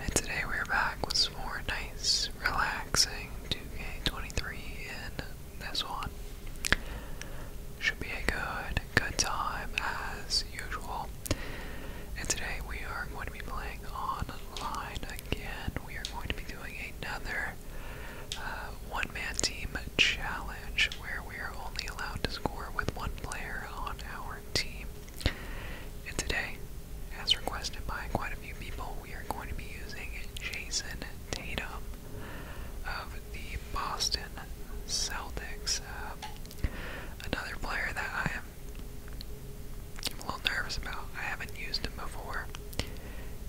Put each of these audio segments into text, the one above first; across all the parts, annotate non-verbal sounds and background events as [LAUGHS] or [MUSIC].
And today we're back with more nice, relaxing 2K23 in this one. Should be a good, good time as usual. And today we are going to be playing online again. We are going to be doing another uh, one-man team challenge where we are only allowed to score with one player on our team. And today, as requested by quite a few people, we are going to be using Jason Tatum of the Boston Celtics. Um, another player that I am a little nervous about. I haven't used him before,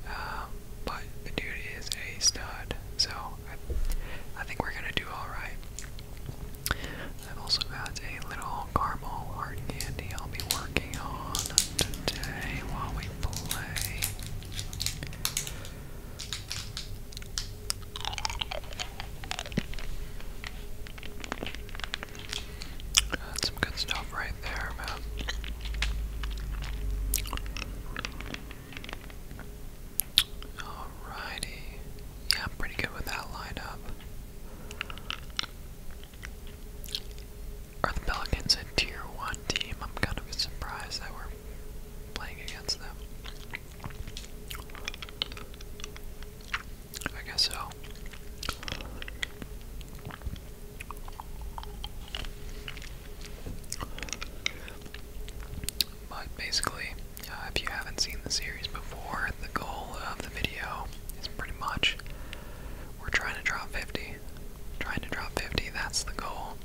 um, but the dude is a stud, so I think we're gonna do all right. I've also got a little caramel hard candy I'll be working on today while we play. That's some good stuff right there, man. Alrighty. Yeah, I'm pretty good with that lineup. Are the a tier 1 team? I'm kind of surprised that we playing against them. I guess so. But basically, uh, if you haven't seen the series before, the goal of the video is pretty much we're trying to drop 50. Trying to drop 50, that's the goal.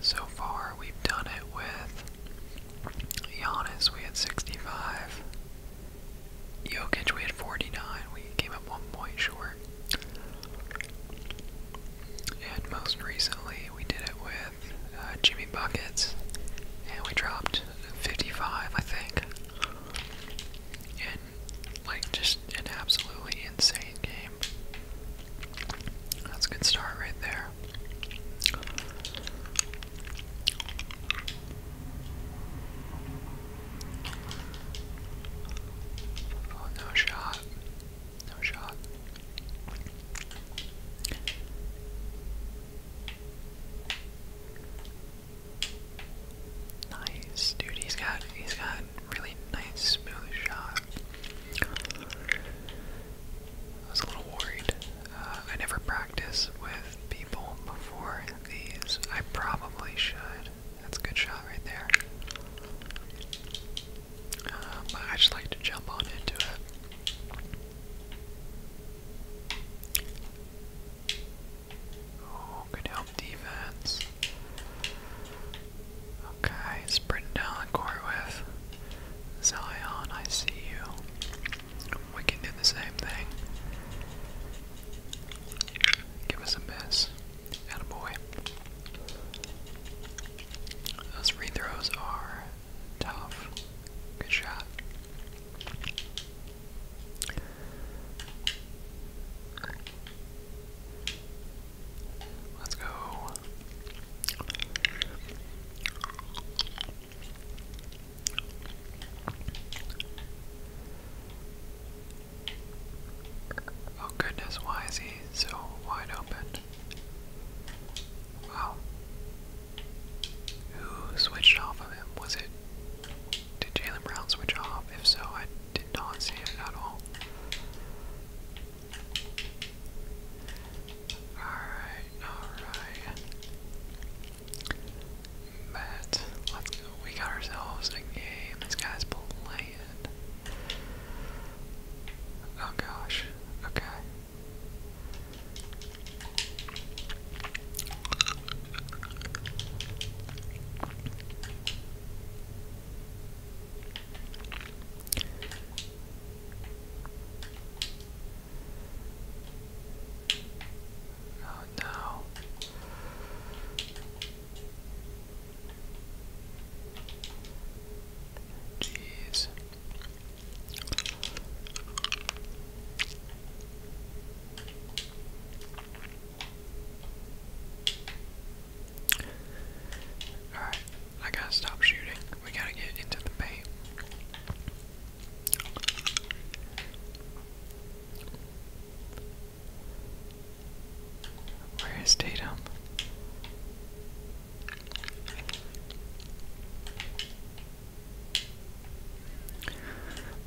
So far, we've done it with Giannis, we had 65. Jokic, we had 49. We came up one point short. And most recently, we did it with uh, Jimmy Buckets, and we dropped 55, I think. And, like, just an absolutely insane game. That's a good start right there. Oh, no shot. No shot. Nice, dude. He's got he's got really nice smooth shot. I was a little worried. Uh, I never practice with people before these. I probably should. That's a good shot right there. Um, I just like to jump on into it. Oh, good help defense. Okay, sprint down the court with Zion, I see you. We can do the same thing. Give us a miss. Attaboy. Those free throws are Tough. Good shot. Let's go. Oh goodness, why is he so wide open? Wow. Who switched off of him? Was it. Did Jalen Brown switch off? If so, I did not see it at all. Alright, alright. Matt, We got ourselves a game. This guy's playing. Oh gosh. Okay. Oh no. Jeez. Alright, I gotta stop shooting. We gotta get into the paint. Where is Tatum?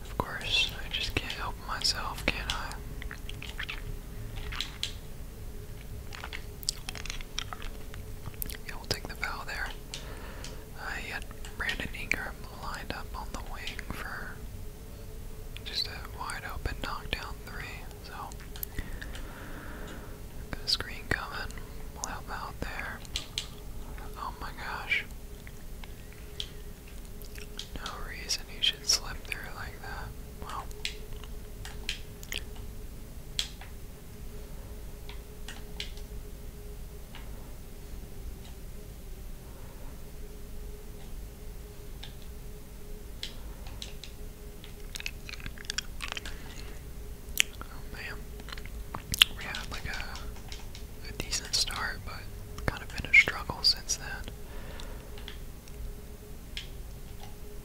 Of course, I just can't help myself, can I? we'll take the foul there. I uh, had Brandon Ingram lined up on the wing for just a wide open knockdown three, so got screen coming. will help out there. Oh my gosh. No reason you should slip through like that. Wow. Oh man. We had like a, a decent start, but kind of been a struggle since then.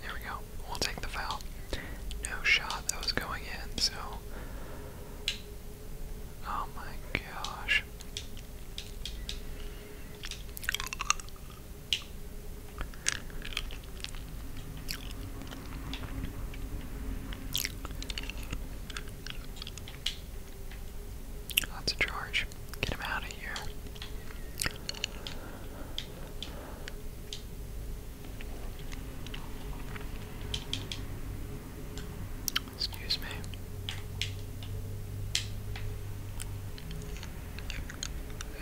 There we go. We'll take the foul. No shot that was going in, so. Oh my gosh. That's a charge. Get him out of here. Excuse me.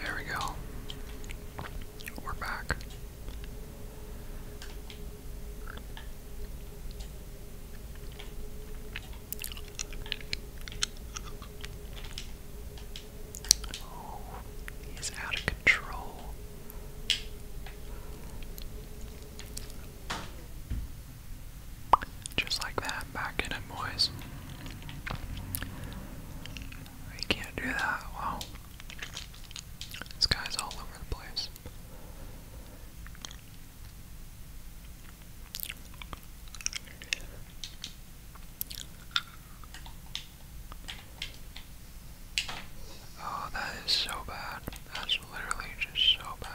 There we go. We're back he's out of control. Just like that, back in it, boys. We can't do that. This guy's all over the place. Oh, that is so bad. That's literally just so bad.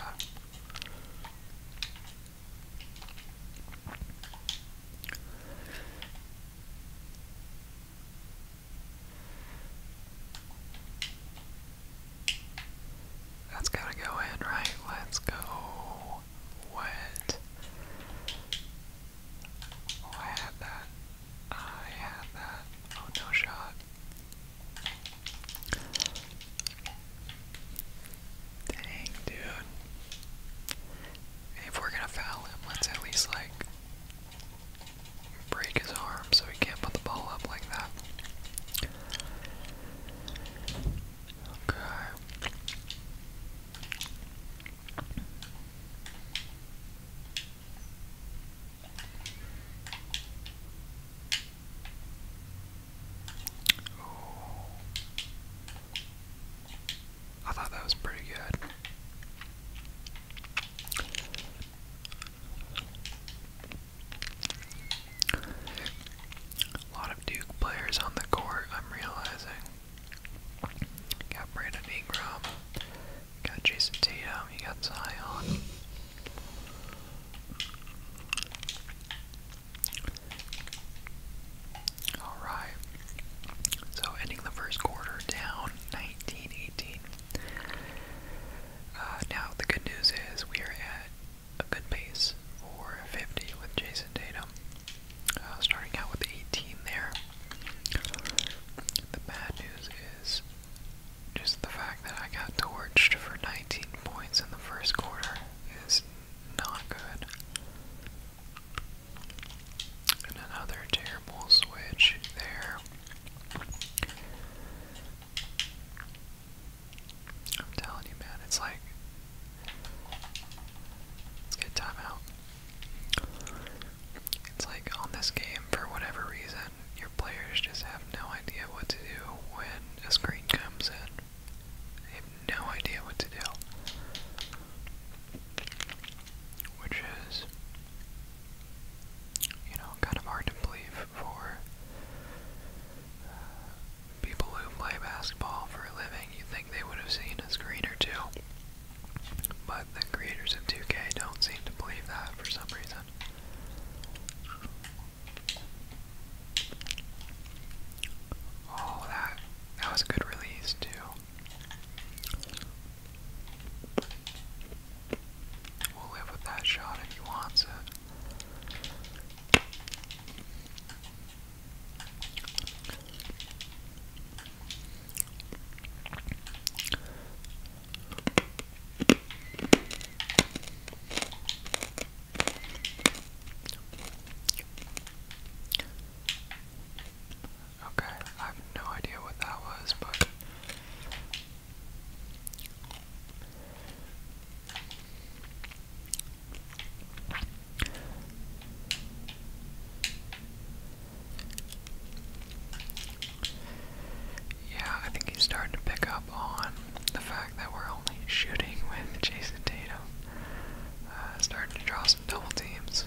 That's gotta go in, right? Let's go. What? Oh, I had that. I had that. Oh, no shot. Dang, dude. If we're gonna foul him, let's at least, like, break his arm so he can't put the ball up like that. Okay. Ooh. I thought that was pretty good. A lot of Duke players on the court, I'm realizing. Got Brandon Ingram, got Jason Tatum, you got Zion. Alright. So ending the first quarter down 19-18. Uh, now, the good news is we are at a good pace for 50 with Jason Tatum, uh, starting out with 18 there. The bad news is just the fact that I got torched for 19 points in the first quarter is not good. another terrible switch there. I'm telling you, man, it's like. Let's timeout. It's like on this game, for whatever reason, your players just have no idea what to do when a screen comes in. They have no idea what to do. Which is you know, kind of hard to believe for uh, people who play basketball for a living. You think they would have seen a screen or two, but the creators of 2K don't seem to believe that for some reason. Oh, that that was a good release too. We'll live with that shot if he wants it. Okay, I have no idea what that was, but yeah, I think he's starting to pick up on the fact that we're only shooting [LAUGHS] with Jason Tatum. Uh, starting to draw some double teams.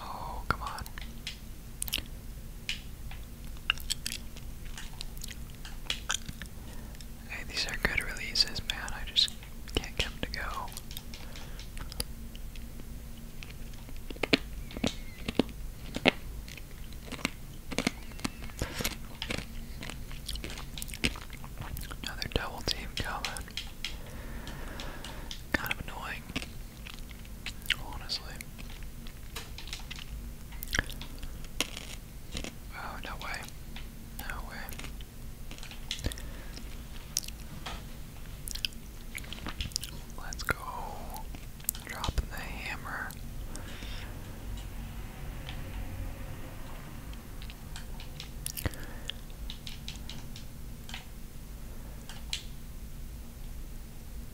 Oh, come on. Hey, these are good releases, man. I just can't get to go. Another double team coming. Kind of annoying. Honestly. Oh, no way. No way. Let's go. Dropping the hammer.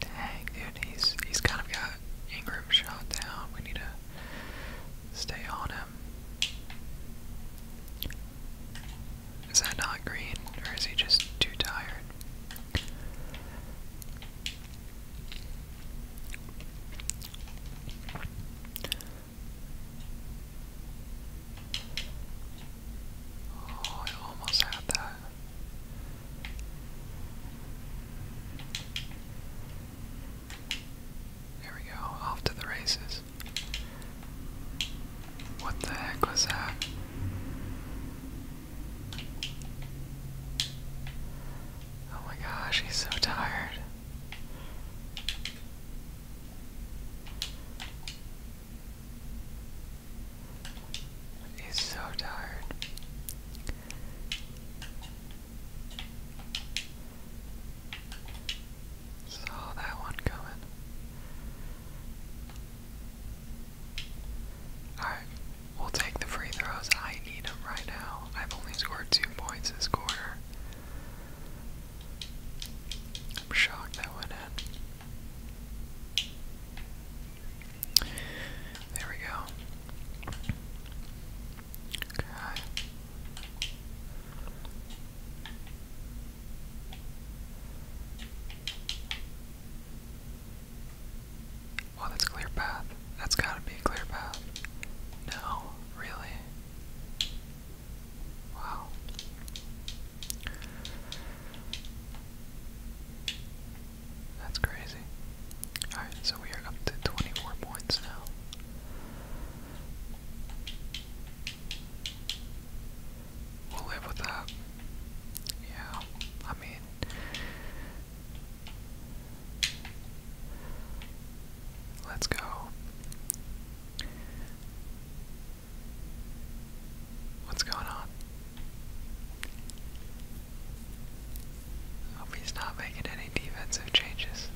Dang, dude, he's he's kind of got Ingram shot down. We need to stay on him. Is that not green, or is he just too tired? Oh, I almost had that. There we go, off to the races. What the heck was that? Oh my gosh, he's so tired. He's so tired. Saw that one coming. Alright, we'll take the free throws. I need them right now. I've only scored two points this quarter. I'm shocked that went in. There we go. Okay. Oh, that's clear path. That's gotta be a clear path. No, really? Wow. That's crazy. Alright, so we are up to 24 points now. We'll live with Yeah, I mean. Let's go. What's going on? Hope he's not making any defensive changes.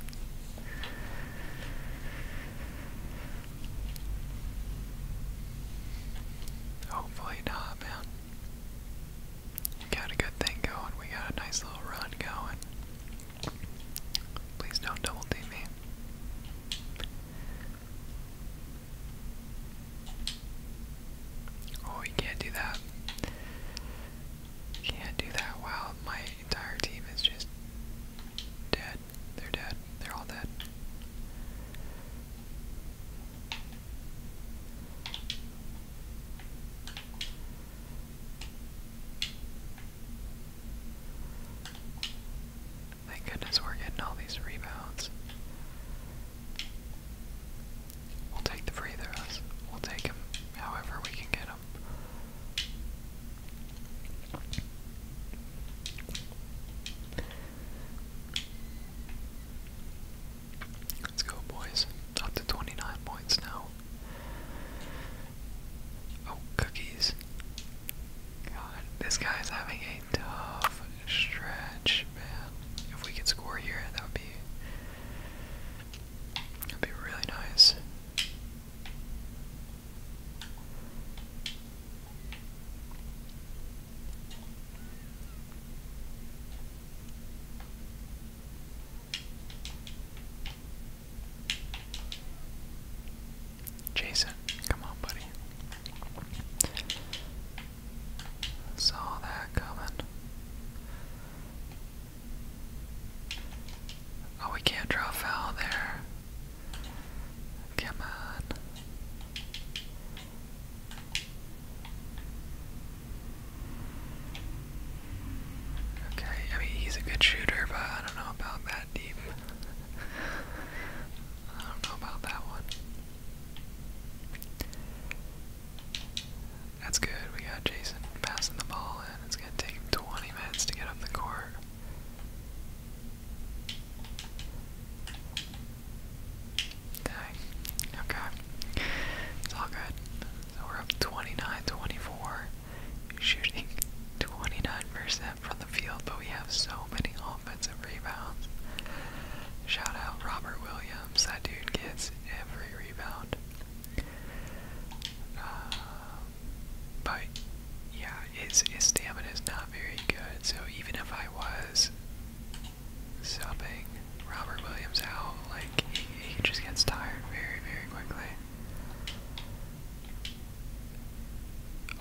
Hopefully not, man. We got a good thing going. We got a nice little run going. Please don't double team me. Oh, you can't do that. Can't do that. Wow, my entire team is just dead. They're dead. They're all dead. Thank goodness we're getting all these rebounds. We'll take the free throws. We'll take him however we can get him. Let's go, boys. Up to 29 points now. Oh, cookies. God, this guy's having tough stretch, man. If we could score here, that would be that'd be really nice. Jason, come on, buddy. Saw that coming. Oh, we can't draw foul there. Come on. Okay, I mean, he's a good shooter, but I don't know about that deep. I don't know about that one. That's good. We got Jason passing the ball in. It's going to take him 20 minutes to get up the court. Okay. It's all good. So we're up 29 Shooting 29% from the field, but we have so many rebounds. Shout out Robert Williams. That dude gets every rebound. Uh, but yeah, his, his stamina is not very good. So even if I was stopping Robert Williams out, like he, he just gets tired very, very quickly.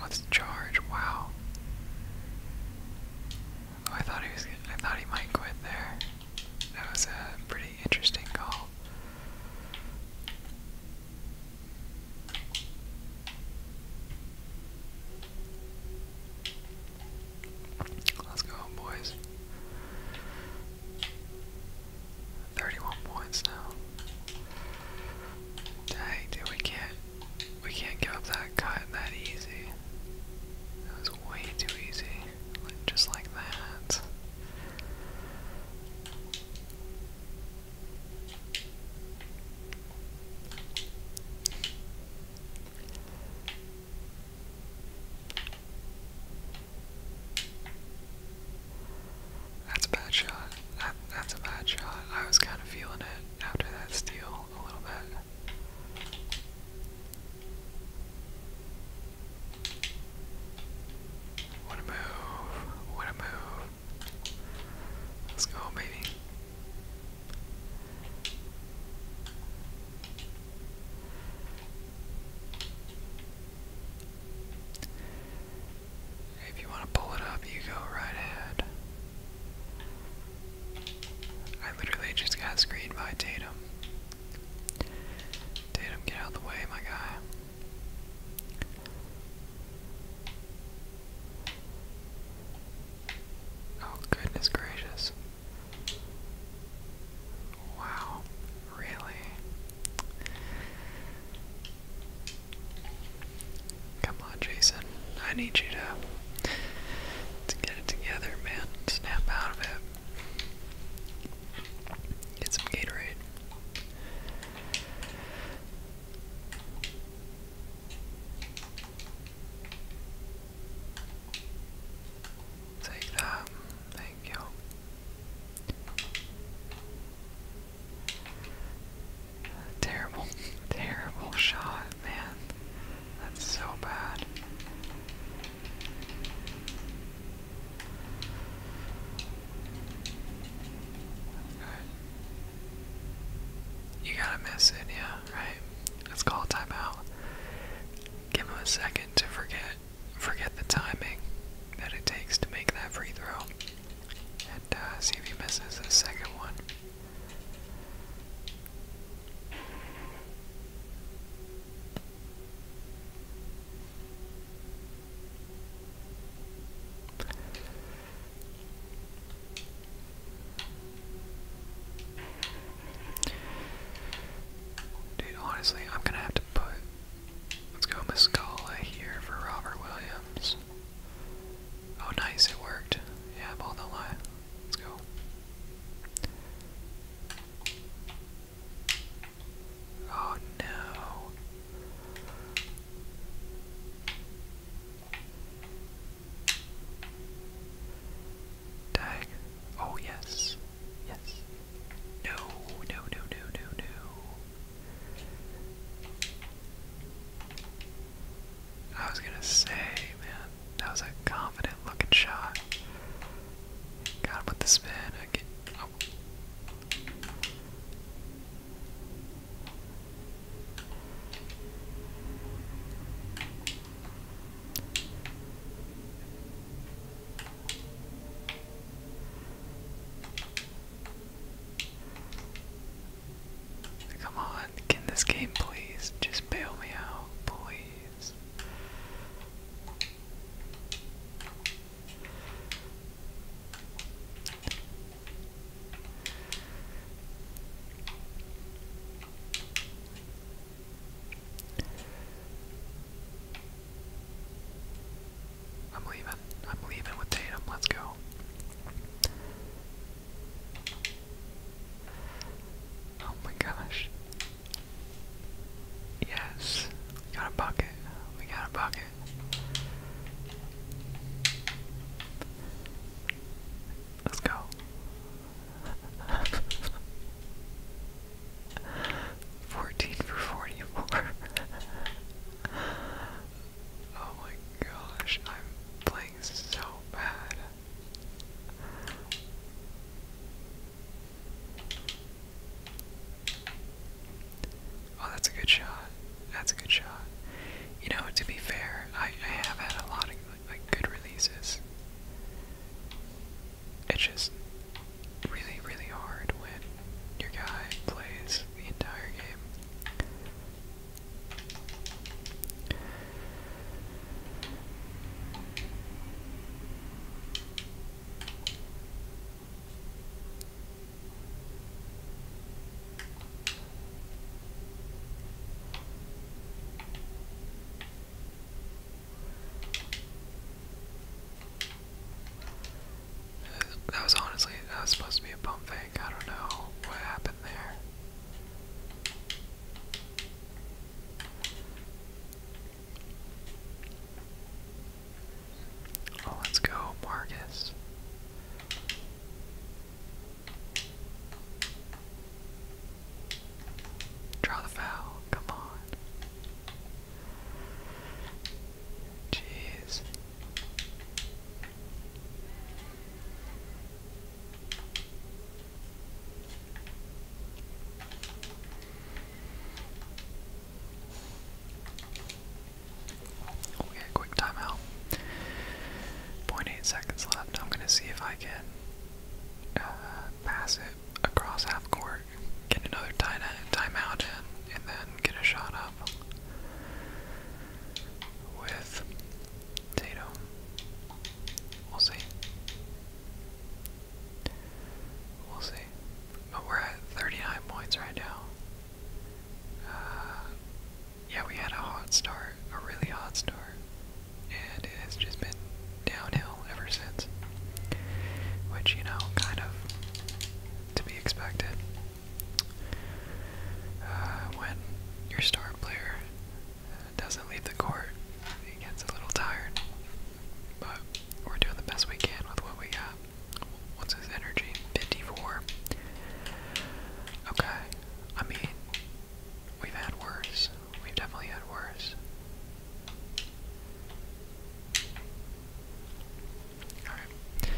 Let's charge. Wow. Oh, I thought he was. I thought he might quit there. That was a pretty interesting call. Let's go, boys. Thirty-one points now. Dang, dude, we can we can't give up that cut that easy. That was way too easy. just like that. That's a bad shot. that's a bad shot. I was kind of feeling it after that steal a little bit. What a move. What a move. Let's go, baby. If you want to pull it up, you go right ahead. I literally just got screened by Tatum. Tatum, get out of the way, my guy. Oh, goodness gracious. Wow, really? Come on, Jason. I need you to let get it together, man. Snap out of it. Get some Gatorade. Take that. Thank you. Terrible, [LAUGHS] terrible shot, man. That's so bad. You gotta miss it, yeah, right? Let's call timeout. Give him a second to forget forget the timing that it takes to make that free throw. And uh, see if he misses the second one. Dude, honestly, I'm gonna have to put. Let's go Muscala here for Robert Williams. Oh, nice, it worked. Yeah, ball don't lie. Let's go. Oh no. Dang. Oh yes. Yes. no, no, no, no, no. I was gonna say, man, that was a confident looking shot. Got with the spin. Oh. Come on, can this game please just bail me out, please? I'm leaving. I'm leaving with Tatum. Let's go. Oh my gosh. Yes. We got a bucket. We got a bucket. Let's go. [LAUGHS] Fourteen for forty-four. [LAUGHS] oh my gosh, I'm playing so bad. Oh, that's a good shot. That's a good shot. You know, to be fair, I, I have had a lot of like good releases. It's just really, really hard when your guy plays the entire game. That was honestly, that was supposed to be a pump fake. I don't know what happened there. Oh, let's go, Marcus. Draw the foul, come on. Jeez. Okay, oh, quick timeout. 0.8 seconds left. I'm going to see if I can uh, pass it across half court, get another timeout and then get a shot up with Tatum. We'll see. We'll see. But we're at 39 points right now. Uh, yeah, we had a hot start, a really hot start, and it has just been downhill ever since. Which, you know, kind of to be expected. Uh, when your star player doesn't leave the court. He gets a little tired. But we're doing the best we can with what we got. What's his energy? 54. Okay. I mean, we've had worse. We've definitely had worse. Alright.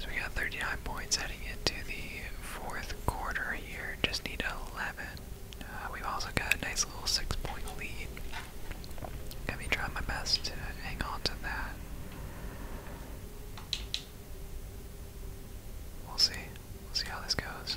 So we got 39 points heading into the fourth quarter here. Just need 11 uh, we've also got a nice little six point lead. Gonna be trying my best to hang on to that. We'll see. see how this goes.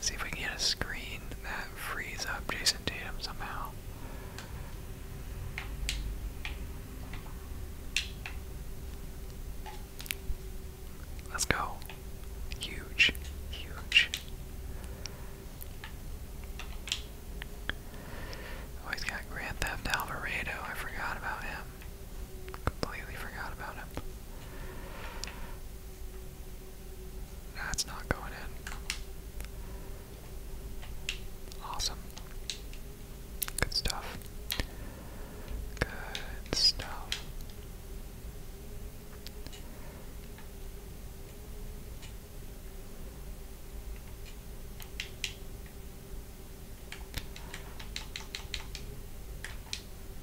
See if we can get a screen that frees up Jason Tatum somehow. Let's go. Huge, huge. Oh, he's got Grand Theft Alvarado. I forgot about him. Completely forgot about him. That's not going in. Awesome. Good stuff. Good stuff.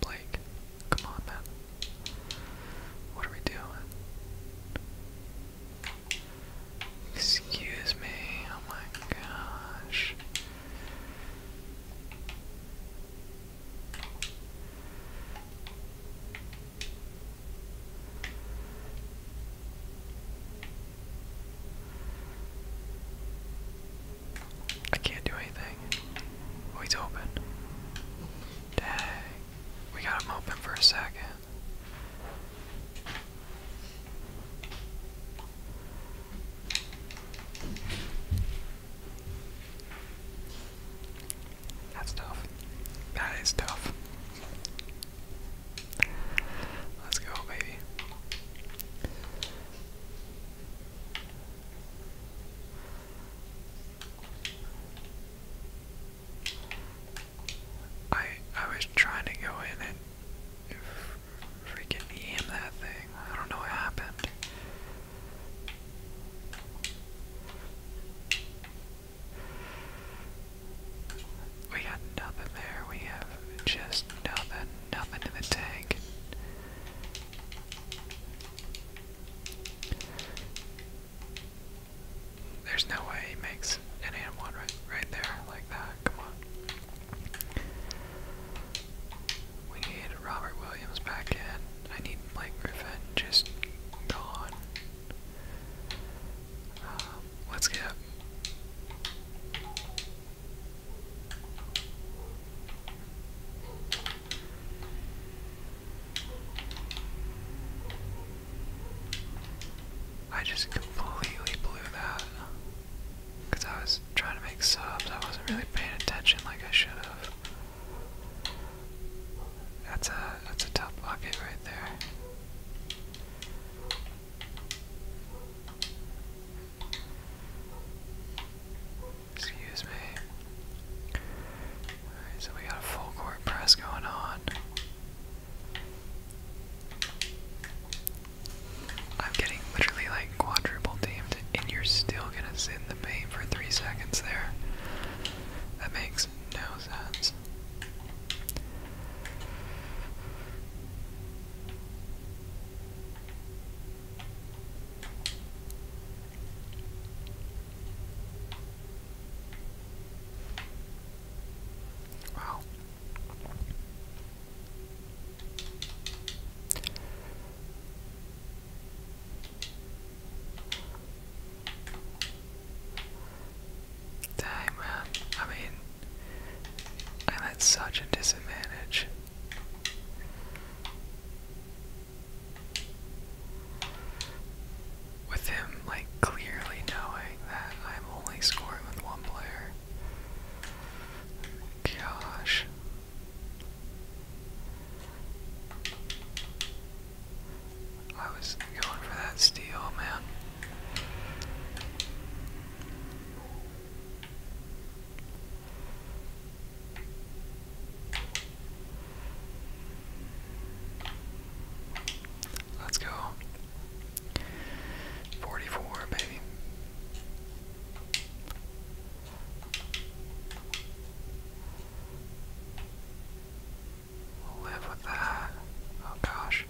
Blake, come on, man. What are we doing? Excuse me, oh my gosh. I can't do anything. Oh, open. Dang. We got him open for a second. That's tough. That is tough. Let's go, baby. I I was trying to go in and freaking EM that thing. I don't know what happened. We got nothing there. We have just nothing, nothing in the tank. There's no way he makes an and one right, right there like that. Come on. We need Robert Williams back in. I need Blake Griffin just gone. Um, let's get. I just completely blew that. Because I was trying to make subs, I wasn't really paying attention like I should have. That's a that's a top pocket right there. Excuse me. so we got a full court press going on. I'm getting literally like quadruple teamed, and you're still gonna sit in the pain for three seconds there. That makes no sense. Wow, Dang, man. I mean, I'm at such a disadvantage with him like clearly knowing that I'm only scoring with one player. Gosh. I was going for that steal, man. Let's go. 44, baby. live with that. Oh gosh.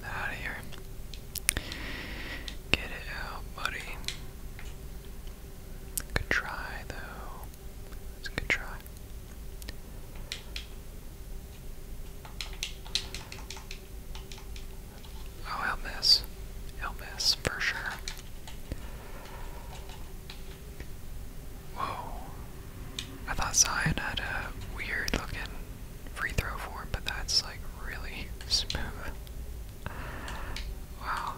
Get out of here. Get it out, buddy. Good try though. It's a good try. Oh, he'll for sure. Whoa. I thought Zion had a weird looking free throw form, but that's like really [LAUGHS] smooth. Wow.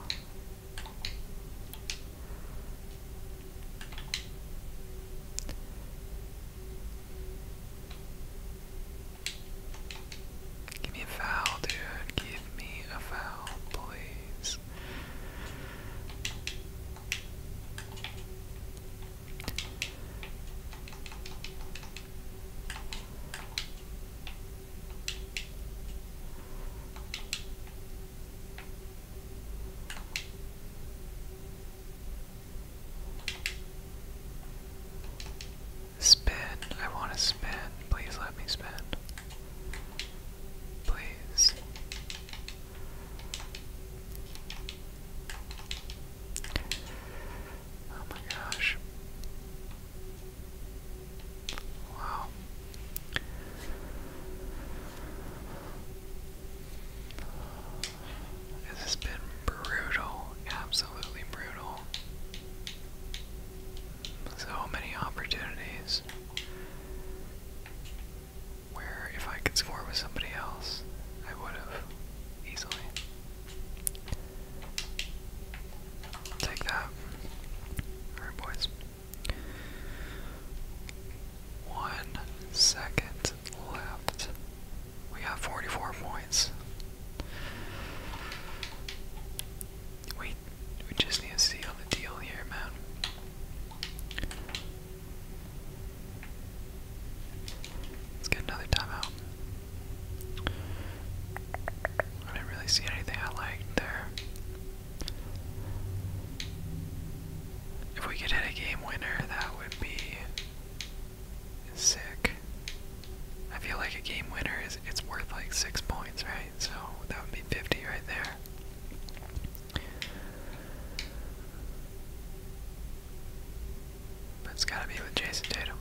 Give me a foul, dude. Give me a foul, please. Spin. I want to spin. Please let me spin. Please. Oh my gosh. Wow. This has been brutal, absolutely brutal. So many opportunities where if I could score with somebody else, I would have easily. Take that. Alright, boys. One second left, We have 44 points. We we just need to seal the deal here, man. Let's get another timeout. I didn't really see anything I liked there. If we could hit a game winner, that would be sick. I feel like a game winner is it's worth like six points, right? So that would be 50 right there. But it's gotta be with Jason Tatum.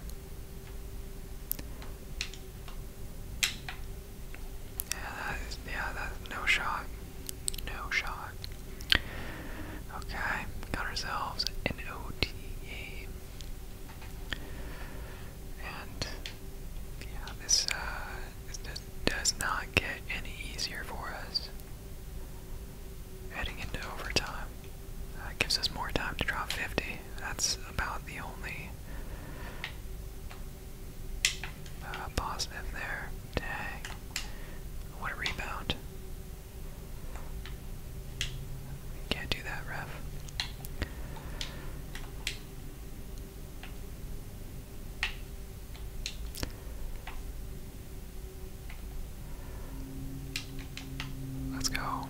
Yeah, yeah, no shot. No shot. Okay, got ourselves an OT game. And yeah, this uh, does not get any easier for us. Heading into overtime, that uh, gives us more time to drop 50. That's about the only uh, positive there. Dang. What a rebound. Can't do that, ref. Let's go.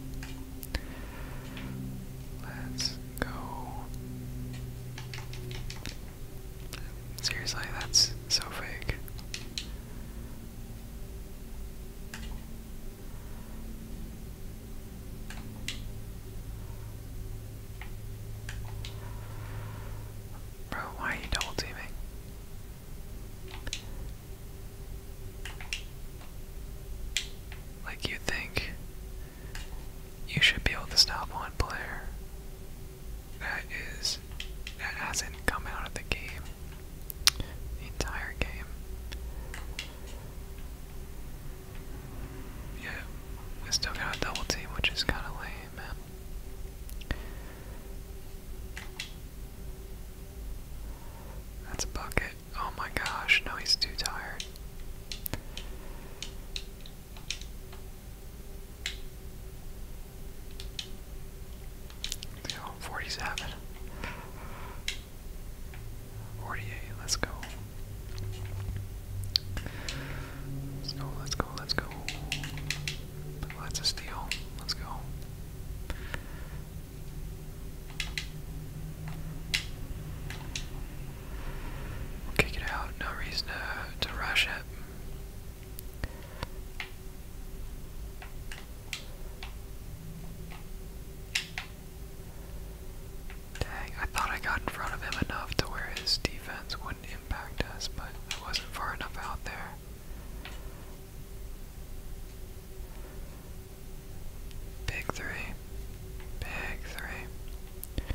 Let's go. Seriously, that's so fake. Bro, why are you double teaming? Like, you think you should be able to stop one player, that is that hasn't come out of the game the entire game. Yeah, I still got a double team, which is kind of lame, man. That's a bucket. Oh my gosh, no, he's too tired. You know, 47. 48, let's go. Let's go, let's go, let's go. That's a steal. Let's go. We'll kick it out. No reason to, to rush it. Dang, I thought I got in front of him enough to where his defense wouldn't impact us, but it wasn't far enough out there. Big three. Big three.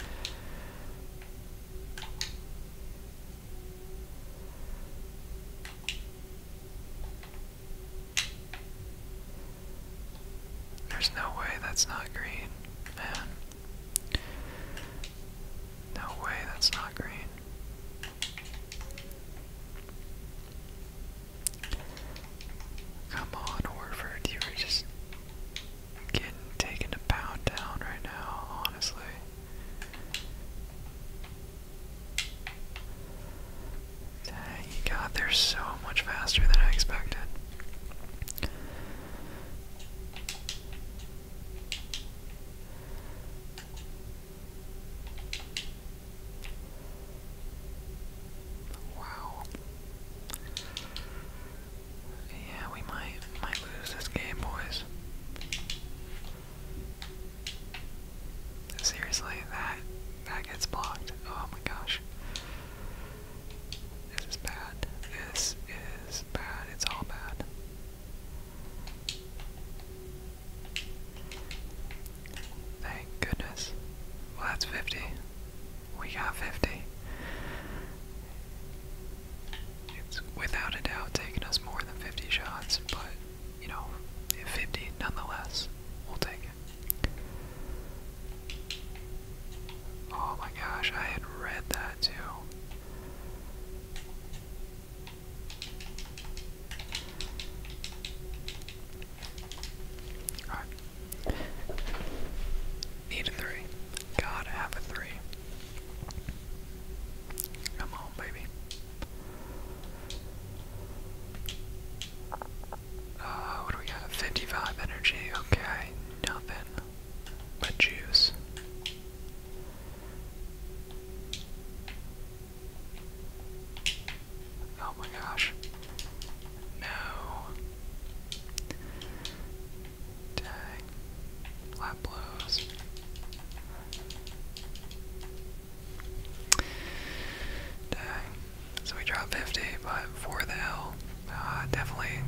There's no way that's not green, man. No way that's not green. Come on, Orford, you were just getting taken a pound down right now, honestly. Dang, God, they're so much faster than I expected. Wow. Yeah, we might might lose this game, boys. Seriously, that that gets blocked. Oh my gosh. This is bad. This is bad. It's all bad. Thank goodness. Well, that's 50. We got 50. It's without a doubt taking us more than 50 shots, but you know, 50 nonetheless. We'll take it. Oh my gosh, I had read that too. Need a three. Gotta have a three. Come on, baby. Uh, what do we got? 55 energy. Okay, nothing but juice. Oh my gosh. No. Dang. Flat blows. Dang. So we dropped 50, but for the hell, uh, definitely,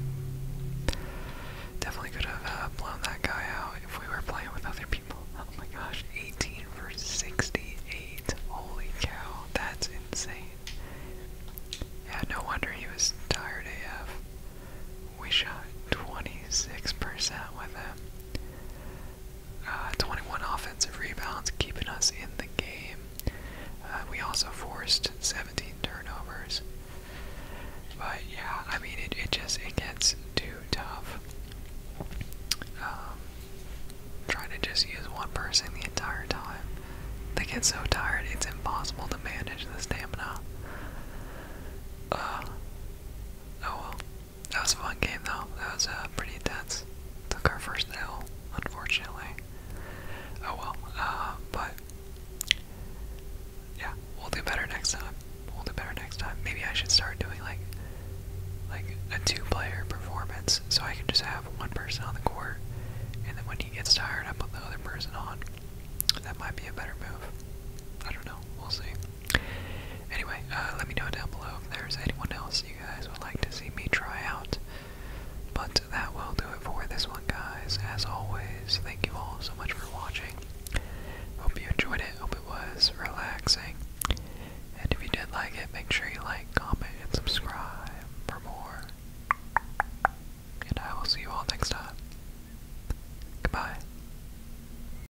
definitely could have uh, blown that guy out if we were playing with other people. Oh my gosh, 18 for 68. Holy cow, that's insane. Yeah, no wonder he was tired AF. We shot 26% with him. Uh, 21 offensive rebounds, keeping us in the game. Uh, we also forced 17 turnovers. But yeah, I mean, it, it just it gets too tough. Um, trying to just use one person the entire time. They get so tired, it's impossible to manage the stamina. Uh, oh that was a fun game though. That was uh, pretty intense. Took our first nail, unfortunately. Oh well. Uh, but yeah, we'll do better next time. We'll do better next time. Maybe I should start doing like like a two-player performance, so I can just have one person on the court, and then when he gets tired, I put the other person on. That might be a better move. I don't know. We'll see. Anyway, uh, let me know down below if there's anyone else you guys would like to see me try out. But that will do it for this one, guys. As always, thank you all so much for watching. Hope you enjoyed it. Hope it was relaxing. And if you did like it, make sure you like, comment, and subscribe for more. And I will see you all next time. Goodbye.